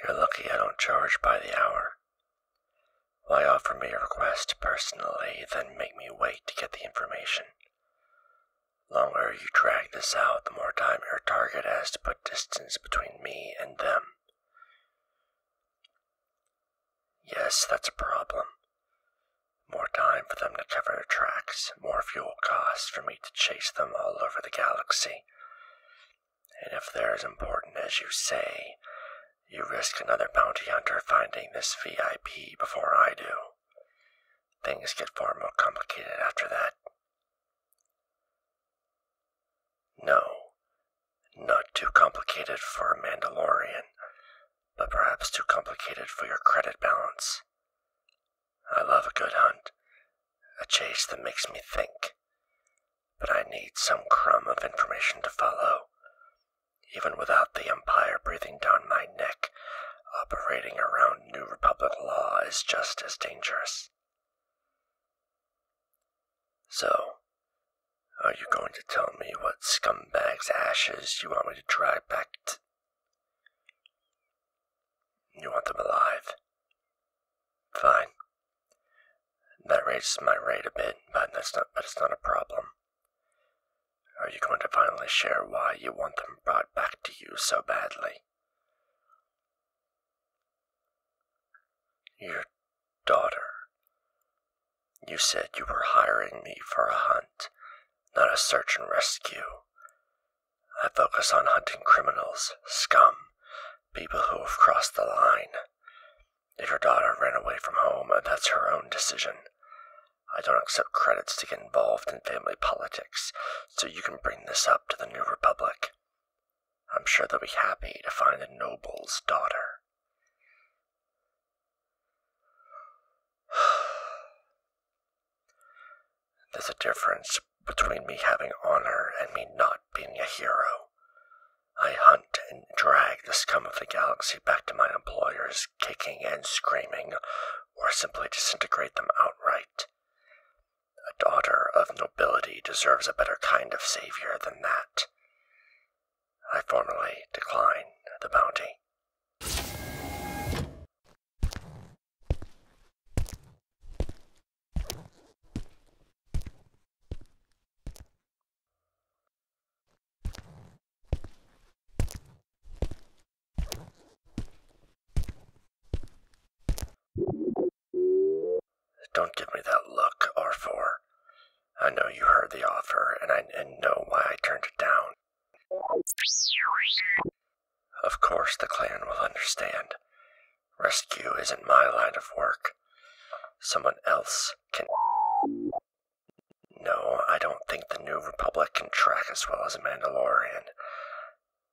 You're lucky I don't charge by the hour. Why offer me a request personally, then make me wait to get the information? Longer you drag this out, the more time your target has to put distance between me and them. Yes, that's a problem. More time for them to cover their tracks, more fuel costs for me to chase them all over the galaxy. And if they're as important as you say, you risk another bounty hunter finding this VIP before I do. Things get far more complicated after that. No, not too complicated for a Mandalorian, but perhaps too complicated for your credit balance. I love a good hunt, a chase that makes me think. But I need some crumb of information to follow. Even without the Empire breathing down my neck, operating around New Republic law is just as dangerous. So, are you going to tell me what scumbag's ashes you want me to drag back to? You want them alive? Fine. That raises my rate a bit, but that's not but it's not a problem. Are you going to finally share why you want them brought back to you so badly? Your daughter. You said you were hiring me for a hunt, not a search and rescue. I focus on hunting criminals, scum, people who have crossed the line. If your daughter ran away from home, uh, that's her own decision. I don't accept credits to get involved in family politics, so you can bring this up to the New Republic. I'm sure they'll be happy to find a noble's daughter. There's a difference between me having honor and me not being a hero. I hunt and drag the scum of the galaxy back to my employers, kicking and screaming, or simply disintegrate them outright. A daughter of nobility deserves a better kind of savior than that. I formally decline the bounty. Don't give me that look, R4. I know you heard the offer, and I know why I turned it down. Of course the clan will understand. Rescue isn't my line of work. Someone else can. No, I don't think the New Republic can track as well as a Mandalorian.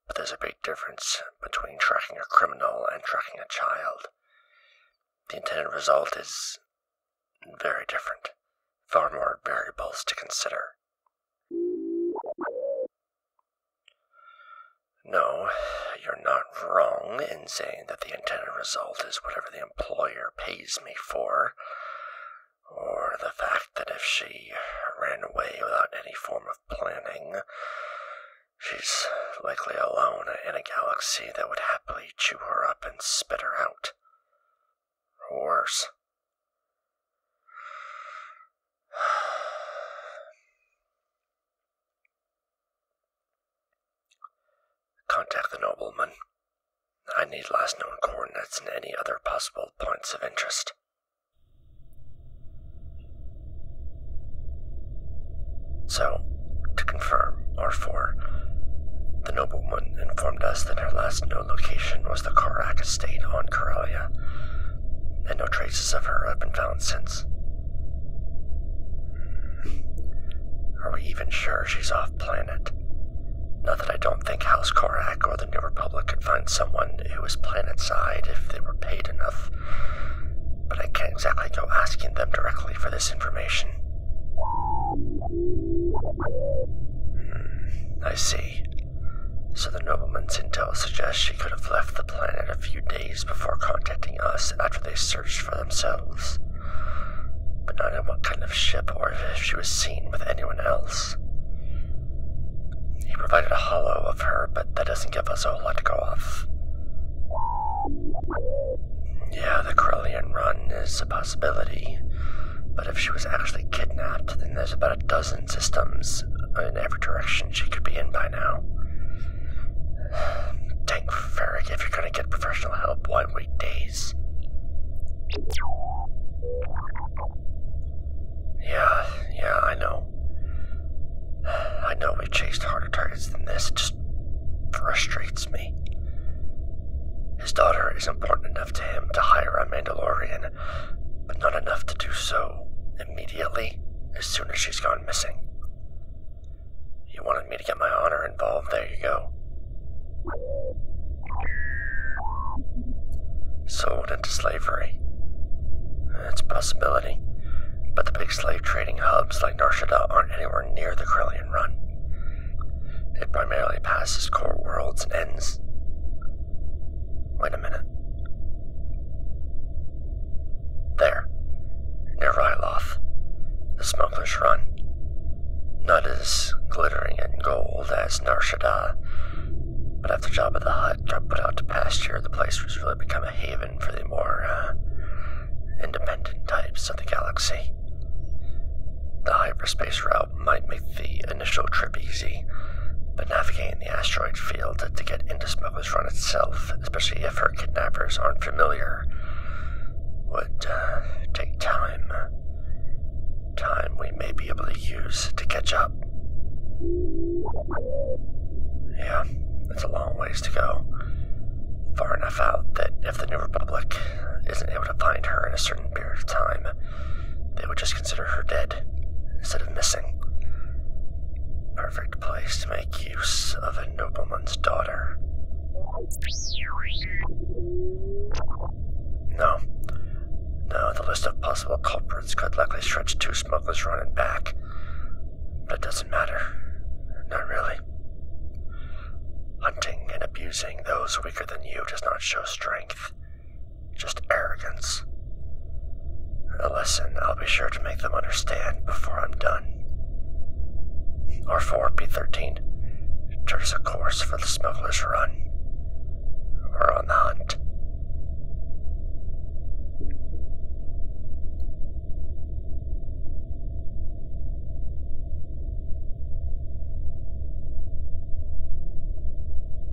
But there's a big difference between tracking a criminal and tracking a child. The intended result is very different, far more variables to consider. No, you're not wrong in saying that the intended result is whatever the employer pays me for, or the fact that if she ran away without any form of planning, she's likely alone in a galaxy that would happily chew her up and spit her out. Or worse, Contact the nobleman. I need last known coordinates and any other possible points of interest. So, to confirm, R4, the nobleman informed us that her last known location was the Karak estate on Corellia and no traces of her have been found since. Hmm. Are we even sure she's off planet? Not that I don't think House Korak or the New Republic could find someone who is planet side if they were paid enough, but I can't exactly go asking them directly for this information. Hmm, I see. So the nobleman's intel suggests she could have left the planet a few days before contacting us after they searched for themselves. But not in what kind of ship or if she was seen with anyone else. He provided a hollow of her, but that doesn't give us a whole lot to go off. Yeah, the Corellian run is a possibility, but if she was actually kidnapped, then there's about a dozen systems in every direction she could be in by now. Thank Ferric, if you're gonna get professional help, why wait days? Yeah, yeah, I know. I know we've chased harder targets than this. just frustrates me. His daughter is important enough to him to hire a Mandalorian but not enough to do so immediately as soon as she's gone missing. You wanted me to get my honor involved, there you go. Sold into slavery. That's possibility, but the big slave trading hubs like Narshada aren't anywhere near the Krillian Run. It primarily passes core worlds and ends Wait a minute. There, near Ryloth, the smugglers run. Not as glittering in gold as Narshada, but after Jabba the Hutt got put out to pasture, the place was really become a haven for the more uh, independent types of the galaxy. The hyperspace route might make the initial trip easy, but navigating the asteroid field to get into Smuggler's Run itself, especially if her kidnappers aren't familiar, would uh, take time. Time we may be able to use to catch up. Yeah, it's a long ways to go. Far enough out that if the New Republic isn't able to find her in a certain period of time, they would just consider her dead instead of missing. Perfect place to make use of a nobleman's daughter. No. No, the list of possible culprits could likely stretch two smugglers running back. But it doesn't matter. Not really. Hunting and abusing those weaker than you does not show strength. Just arrogance. A uh, lesson I'll be sure to make them understand before I'm done. R4 B13, chart a course for the smuggler's run. We're on the hunt.